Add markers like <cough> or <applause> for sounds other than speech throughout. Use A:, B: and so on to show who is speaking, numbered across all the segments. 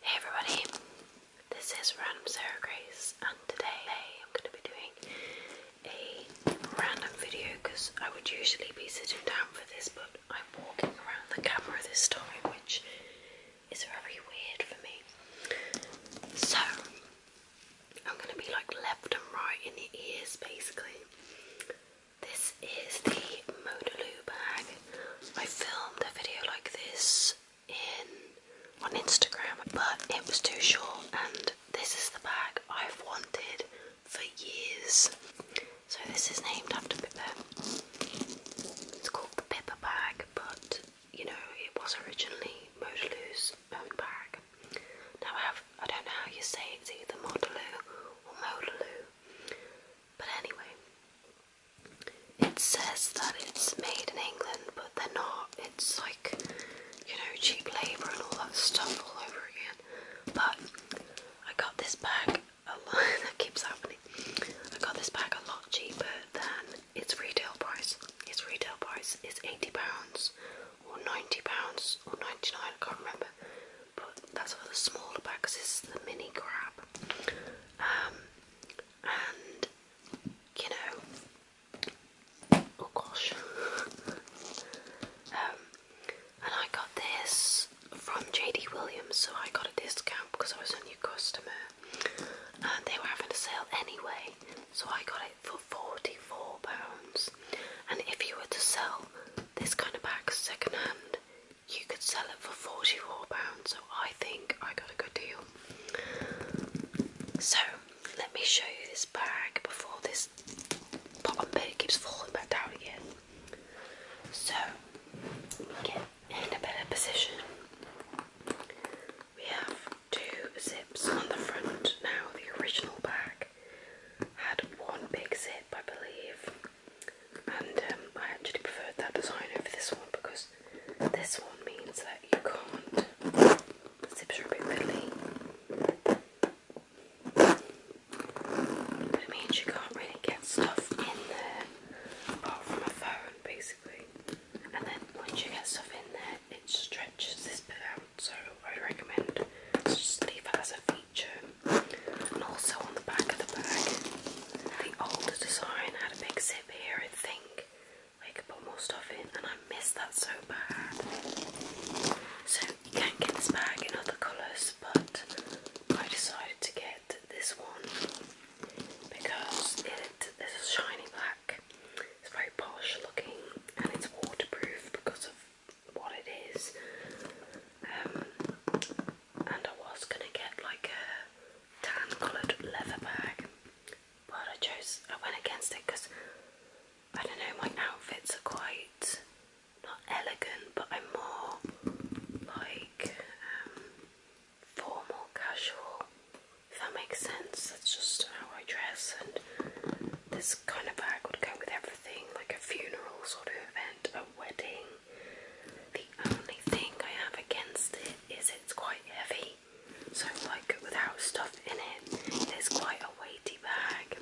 A: Hey everybody, this is Random Sarah Grace, and today I'm going to be doing a random video because I would usually be sitting down for this, but I'm walking around the camera this time, which is very weird for me. So, I'm going to be like left and right in the ears basically. This is the Modaloo bag. I filmed a video like this in on Instagram, but it was too short and this is the bag I've wanted for years. So this is named after Pepper. It's called the Pepper bag, but you know, it was originally Modelou's own bag. Now I have I don't know how you say it, it's either Modelou or Modelou. But anyway, it says that it's made in England, but they're not. It's like, you know, cheap labour and all that stuff all over again. But I got this bag <laughs> that keeps happening. I got this bag a lot cheaper than its retail price. Its retail price is £80 or £90 or 99 I can't remember. But that's for the smaller bags. because is the mini grab. Um, and you know, oh gosh. um, and I got this from JD Williams, so I got a discount because I was a new customer, and they were having a sale anyway, so I got it for forty-four pounds. And if you were to sell this kind of bag second hand, you could sell it for £44, so I think I got a good deal. So, let me show you this bag before this bottom bit keeps falling back down again. So, get in a better position. We have two zips on the front now. The original bag had one big zip, I believe, and um, I actually preferred that design over this one because this one means that you can't. zip zips are a it means you can't really get stuff in there apart from a phone, basically. And then once you get stuff in there, it stretches this bit out. So I recommend just leave it as a V and also on the back of the bag, the older design had a big zip here, I think. Where you could put more stuff in, and I miss that so bad. So you can get this bag in other colours, but I decided to get this one because it is a shiny black. It's very posh looking and it's waterproof because of what it is. Um, and I was gonna get like a tan coloured leather bag, but I chose I went against it because I don't know my outfits are quite not elegant, but I'm more like um, formal, casual. If that makes sense, that's just how I dress, and this kind of bag would go with everything, like a funeral sort of event, a wedding, the only thing I have against it is it's quite heavy. So like without stuff in it, it's quite a weighty bag.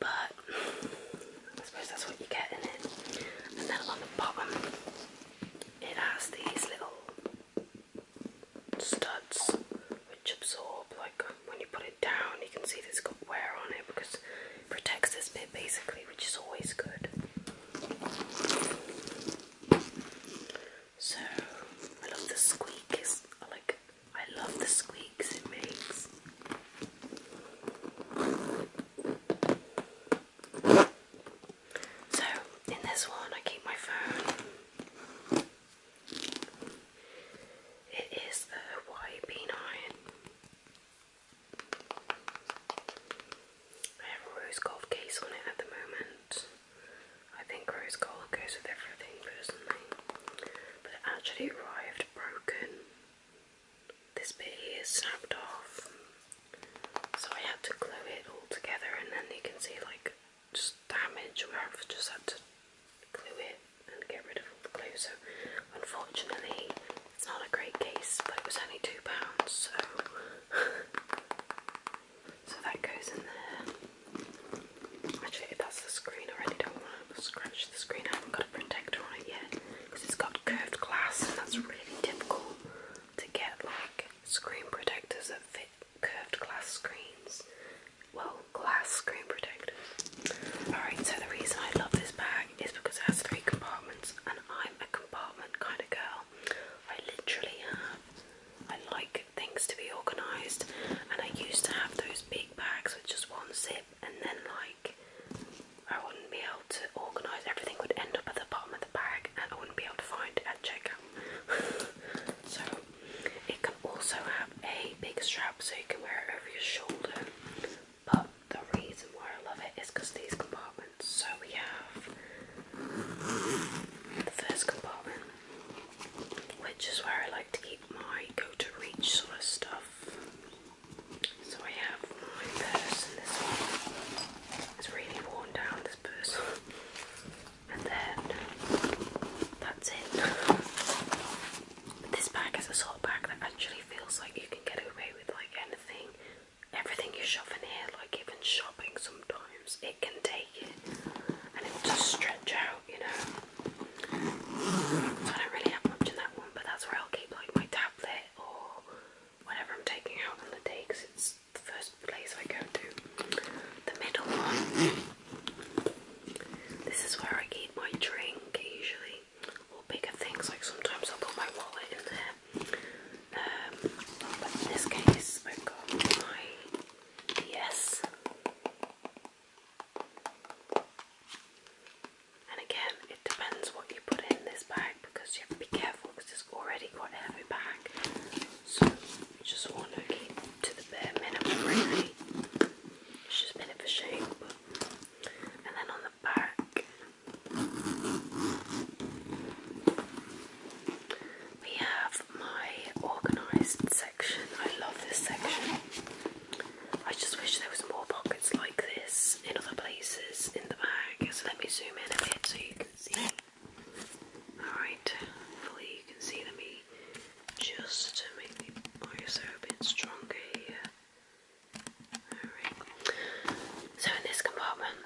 A: But I suppose that's what you get in it. And then on the bottom it has these little studs which absorb like when you put it down you can see that it's got wear on it because protects this bit basically, which is always good. So I love the squeak. like I love the squeaks it makes. So in this one, I keep my phone. It is the YB9. I have rose gold case on it at the moment. I think rose gold goes with everything personally. But it actually arrived broken. This bit here is snapped off. So I had to glue it all together and then you can see like just damage where I've just had to glue it and get rid of all the glue. So, unfortunately, it's not a great case, but it was only two pounds, so <laughs> that goes in there. Actually, that's the screen. I really don't want to scratch the screen. I haven't got a protector on it yet because it's got curved glass, and that's really difficult to get like screen protectors that fit curved glass screens. Well, glass screen protectors. Alright, so the reason I love this bag is because it has three compartments and I'm a compartment kind of girl. I literally have, I like things to be organised and I used to have those big bags with just one zip and then like I wouldn't be able to organise, everything would end up at the bottom of the bag and I wouldn't be able to find it at checkout. <laughs> so it can also have a big strap so you can wear it over your shoulder but the reason why I love it is because these compartments. So we have the first compartment, which is where I like to keep my go to reach sort of stuff. So I have my purse, this is really worn down, this purse. And then that's it this bag is a sort of bag that actually feels like you can get away with like anything. Everything you shove in here, like even shopping sometimes, it can take it and it just stretch out, you know. So I don't really have much in that one, but that's where I'll keep like my tablet or whatever I'm taking out on the day because it's the first place I go to. The middle one this is where I keep my drink usually, or bigger things, like sometimes i put my wallet in there. Um, but in this case, I've got my DS. And again, it depends what you put in this bag because you have to be careful because it's already quite heavy bag. So, you just want to keep to the bare minimum, really it's just a bit of a shape. And then on the back, we have my organised section. I love this section. I just wish there was more pockets like this in other places in the bag. So let me zoom in a bit so you can see. Alright, hopefully you can see. Let me just to make the more so a bit stronger here. Alright. So in this compartment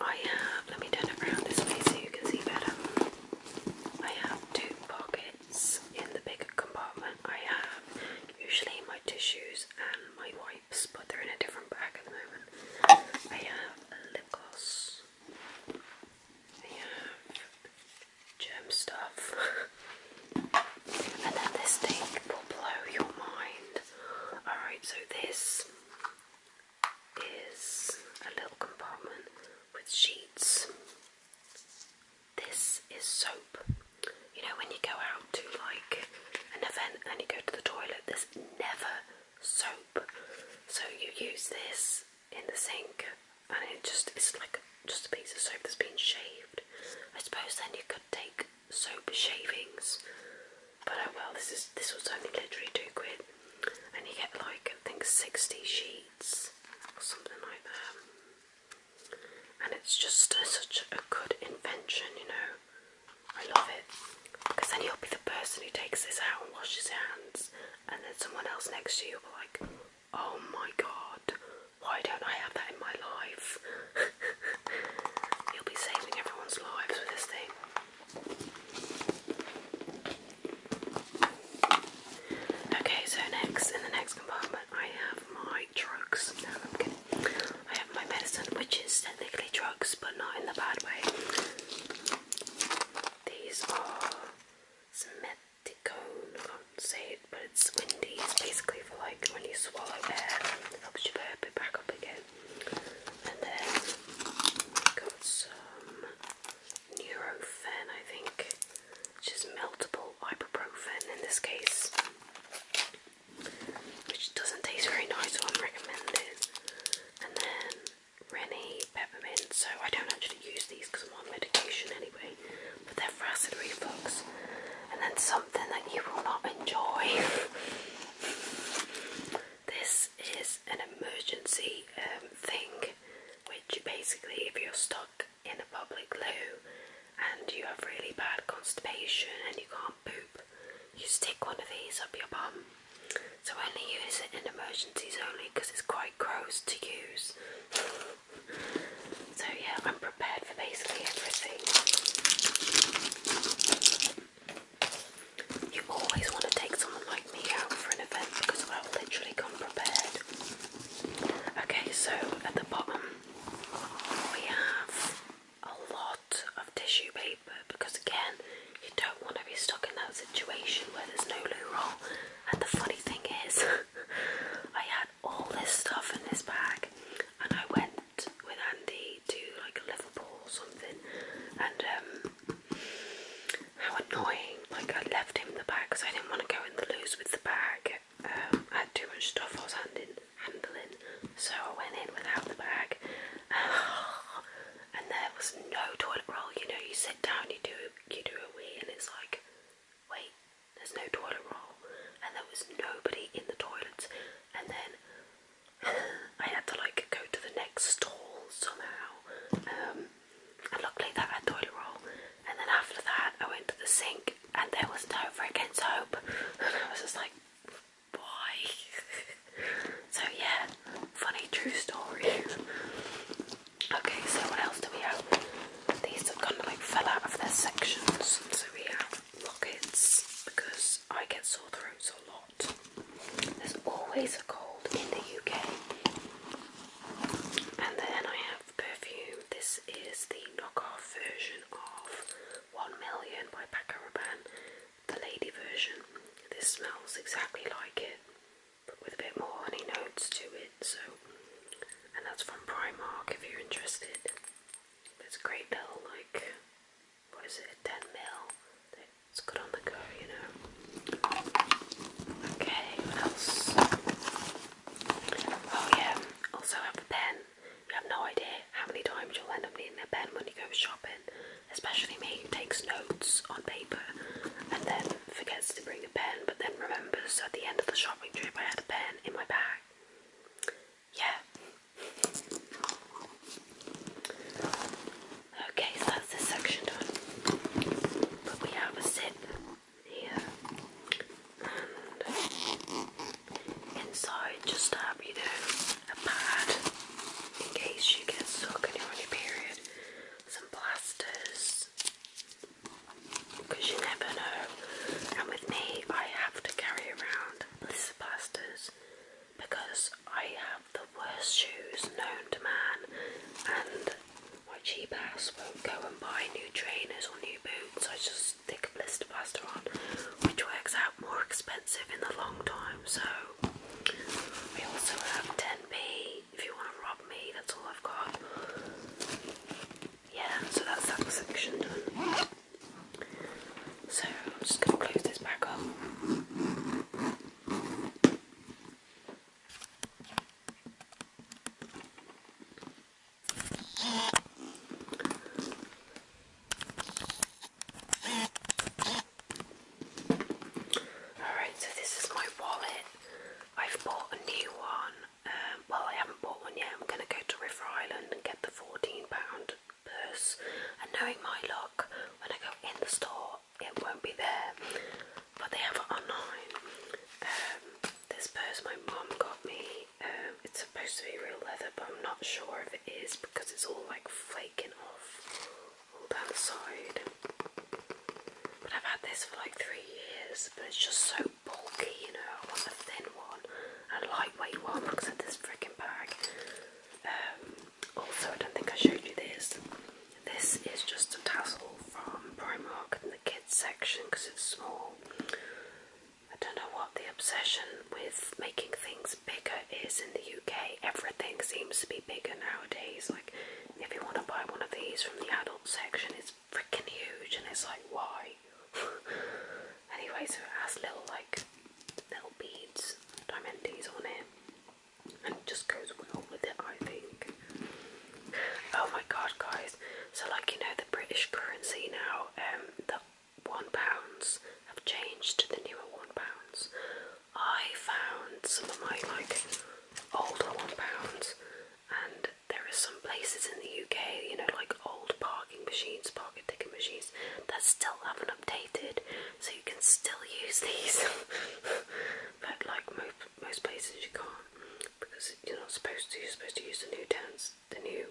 A: I have let me turn it around this way so you can see better. I have two pockets in the bigger compartment. I have usually my tissues and my wipes, but they're in a different bag at the moment. I have lip gloss. I have Gem stuff. <laughs> and then this thing will blow your mind. Alright, so this is a little compartment with sheets. This is soap. You know, when you go out to like an event and you go to the toilet, there's never soap. So you use this in the sink and it just it's like just a piece of soap that's been shaved. I suppose then you could take soap shavings. But oh well, this is this was only literally two quid, and you get like I think sixty sheets or something like that. And it's just such a good invention, you know. I love it because then you'll be the person who takes this out and washes hands, and then someone else next to you will be like, Oh my god, why don't I have that in my life? You'll <laughs> be saving everyone's lives with this thing. Okay, so next in the next compartment, I have my drugs. No, I'm kidding. I have my medicine, which is technically drugs, but not in the bad way. These are Smith Ticone, I can't say it, but it's windy. basically for like when you swallow air, it helps you burp it back up again. And then got some Nurofen, I think, which is meltable ibuprofen in this case, which doesn't taste very nice, so I wouldn't recommend And then Rennie peppermint. So I don't actually use these because I'm on medication anyway, but they're for acid reflux. And then something that you will not enjoy. <laughs> this is an emergency um, thing, which basically, if you're stuck in a public loo and you have really bad constipation and you can't poop, you stick one of these up your bum so only use it in emergencies only because it's quite gross to use. so yeah, I'm prepared for basically everything. You always want to take someone like me out for an event because I've literally come prepared. Okay, so at the bottom we have a lot of tissue paper because again you don't want to be stuck in that situation where there's no loo roll. And the funny thing is, <laughs> I had all this stuff in this bag, and I went with Andy to like Liverpool or something, and um, how annoying! Like I left him the bag because I didn't want to go in the loose with the bag. Um, I had too much stuff I was handing, handling, so I went in without the bag. <sighs> and there was no toilet roll. You know, you sit down, you do you do a wee, and it's like, wait, there's no toilet roll, and there was nobody in the toilets. And then <laughs> I had to like go to the next stall somehow. Um, and luckily that had toilet roll. And then after that, I went to the sink, and there was no freaking soap, <laughs> and I was just like, why? <laughs> so yeah, funny true story. okay, so what else do we have? These have kind of like fell out of their sections. So we have rockets because I get sore throats a lot. There's always a cold in the UK. And then I have perfume. This is the knockoff version of 1 Million by Paco Rabanne, the lady version. This smells exactly like it but with a bit more honey notes to it. So, and that's from Primark if you're interested. It's a great little like, what is it, 10 mil? It's good on the go, you know. Okay, what else? Oh yeah, also have a pen. You have no idea how many times you'll end up needing a pen when you go shopping especially me who takes notes on paper and then forgets to bring a pen but then remembers at the end of the shopping trip I had a pen in my bag. Yeah. Okay, so that's this section done. But we have a zip here and inside just have, you know, a pad in case you get stuck and you're on your period, some plasters, because you never know. And with me, I have to carry around blister of because I have the worst shoes known to man, and my cheap ass won't go and buy new trainers or new boots. I just stick a blister plaster on, which works out more expensive in the long time. So we also have 10p if you want to rob me, that's all I've got. Yeah, so that's that section done. So I'm just going to close this back up. Alright, so this is my wallet. I've bought a new one. Um, I haven't bought one yet. I'm going to go to River Island and get the £14 purse. And knowing my luck, when I go in the store, it won't be there. But they have it online. Um, this purse my mum got me. Um, it's supposed to be real leather, but I'm not sure if it is because it's all like flaking off that side. But I've had this for like three years, but it's just so bulky, you know. I want a thin one a lightweight one because of this freaking bag. Um, also, I don't think I showed you this. This is just a tassel from Primark in the kids section because it's small. I don't know what the obsession with making things as bigger is in the UK. Everything seems to be bigger nowadays. Like, if you want to buy one of these from the adult section, it's freaking huge, and it's like, why? <laughs> anyway, so it has little, like, little beads, diamantes on it, and it just goes well with it, I think. Oh my god, guys. So, like, you know, the British currency now, um, the one pounds have changed to the newer one pounds. I found some of my like older one pounds, and there are some places in the UK, you know, like old parking machines, parking ticket machines, that still haven't updated, so you can still use these. <laughs> but like most most places, you can't because you're not supposed to. You're supposed to use the new towns, the new,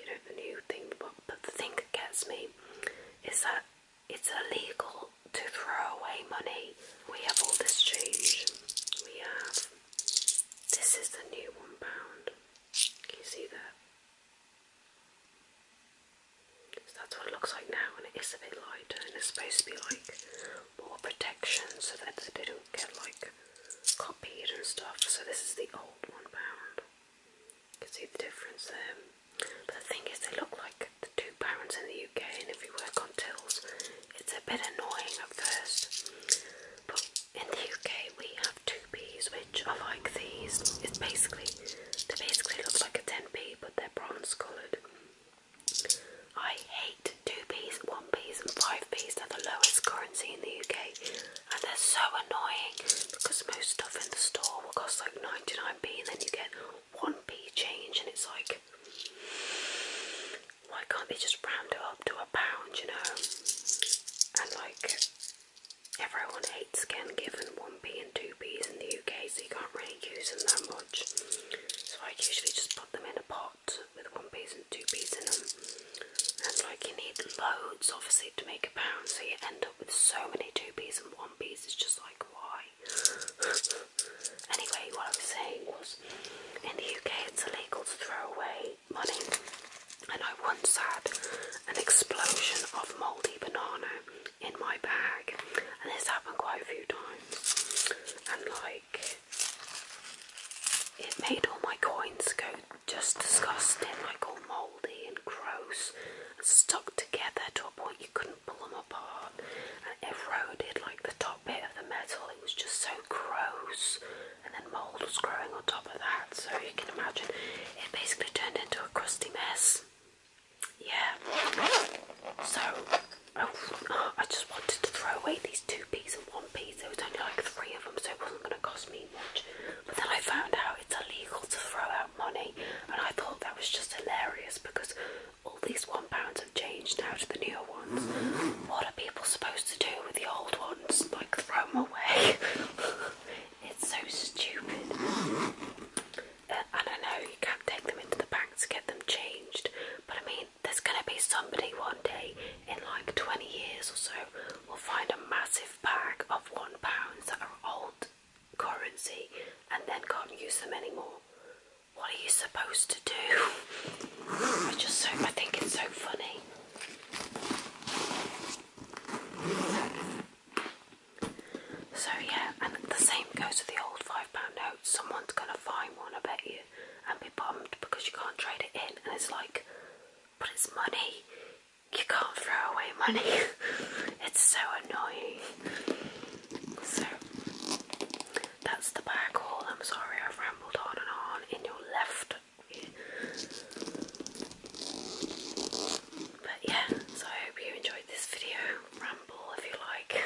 A: you know, the new thing. but the thing that gets me is that it's illegal to throw away money. We have all this change. We have this is the new one pound. Can you see that? So that's what it looks like now, and it is a bit lighter, and it's supposed to be like more protection so that they don't get like copied and stuff. So this is the old one pound. You can see the difference there. But the thing is, they look like the two parents in the UK, and if you work on tills, it's a bit annoying at first. But in the UK, we have two P's, which are like these. It's basically they basically look like a 10p, but they're bronze coloured. I hate two P's, one P's, and five P's. They're the lowest currency in the UK and they're so annoying because most stuff in the store will cost like 99p and then you get 1p change and it's like why can't they just round it up to a pound you know and like everyone hates getting given 1p and 2p's in the UK so you can't really use them that much so I usually just put them in a pot with 1p's and 2p's in them and like you need loads obviously to make a pound so you end up with so many two p's and one p's it's just like why anyway what i was saying was in the uk it's illegal to throw away money and i once had an explosion of mouldy banana in my bag and this happened quite a few times and like it made all my coins go just disgusting, like all mouldy and gross, and stuck together to a point you couldn't pull them apart, and it eroded like the top bit of the metal. It was just so gross, and then mould was growing on top of that. So you can imagine it basically turned into a crusty mess. Yeah. So oh, <gasps> I just wanted to throw away these two pieces, and one piece. There was only like three of them, so it wasn't going to cost me really much. But then I found out it's illegal to throw out money, and I thought that was just hilarious because all these one pounds have changed now to the newer ones. What are people supposed to do with the old ones? Like throw them away? <laughs> it's so stupid. Uh, and I know you can't take them into the bank to get them changed, but I mean, there's going to be somebody one day in like 20 years or so we will find a massive bag of one pounds that are old currency and then can't use them anymore. What are you supposed to do? I just so I think it's so funny. So yeah, and the same goes with the old five pound notes. Someone's gonna find one, I bet you, and be bummed because you can't trade it in. And it's like, but it's money you can't throw away money. <laughs> it's so annoying. So that's the bag haul. I'm sorry I've rambled on and on in your left But yeah, so I hope you enjoyed this video. Ramble if you like.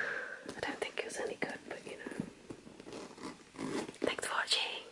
A: <laughs> I don't think it was any good, but you know. Thanks for watching.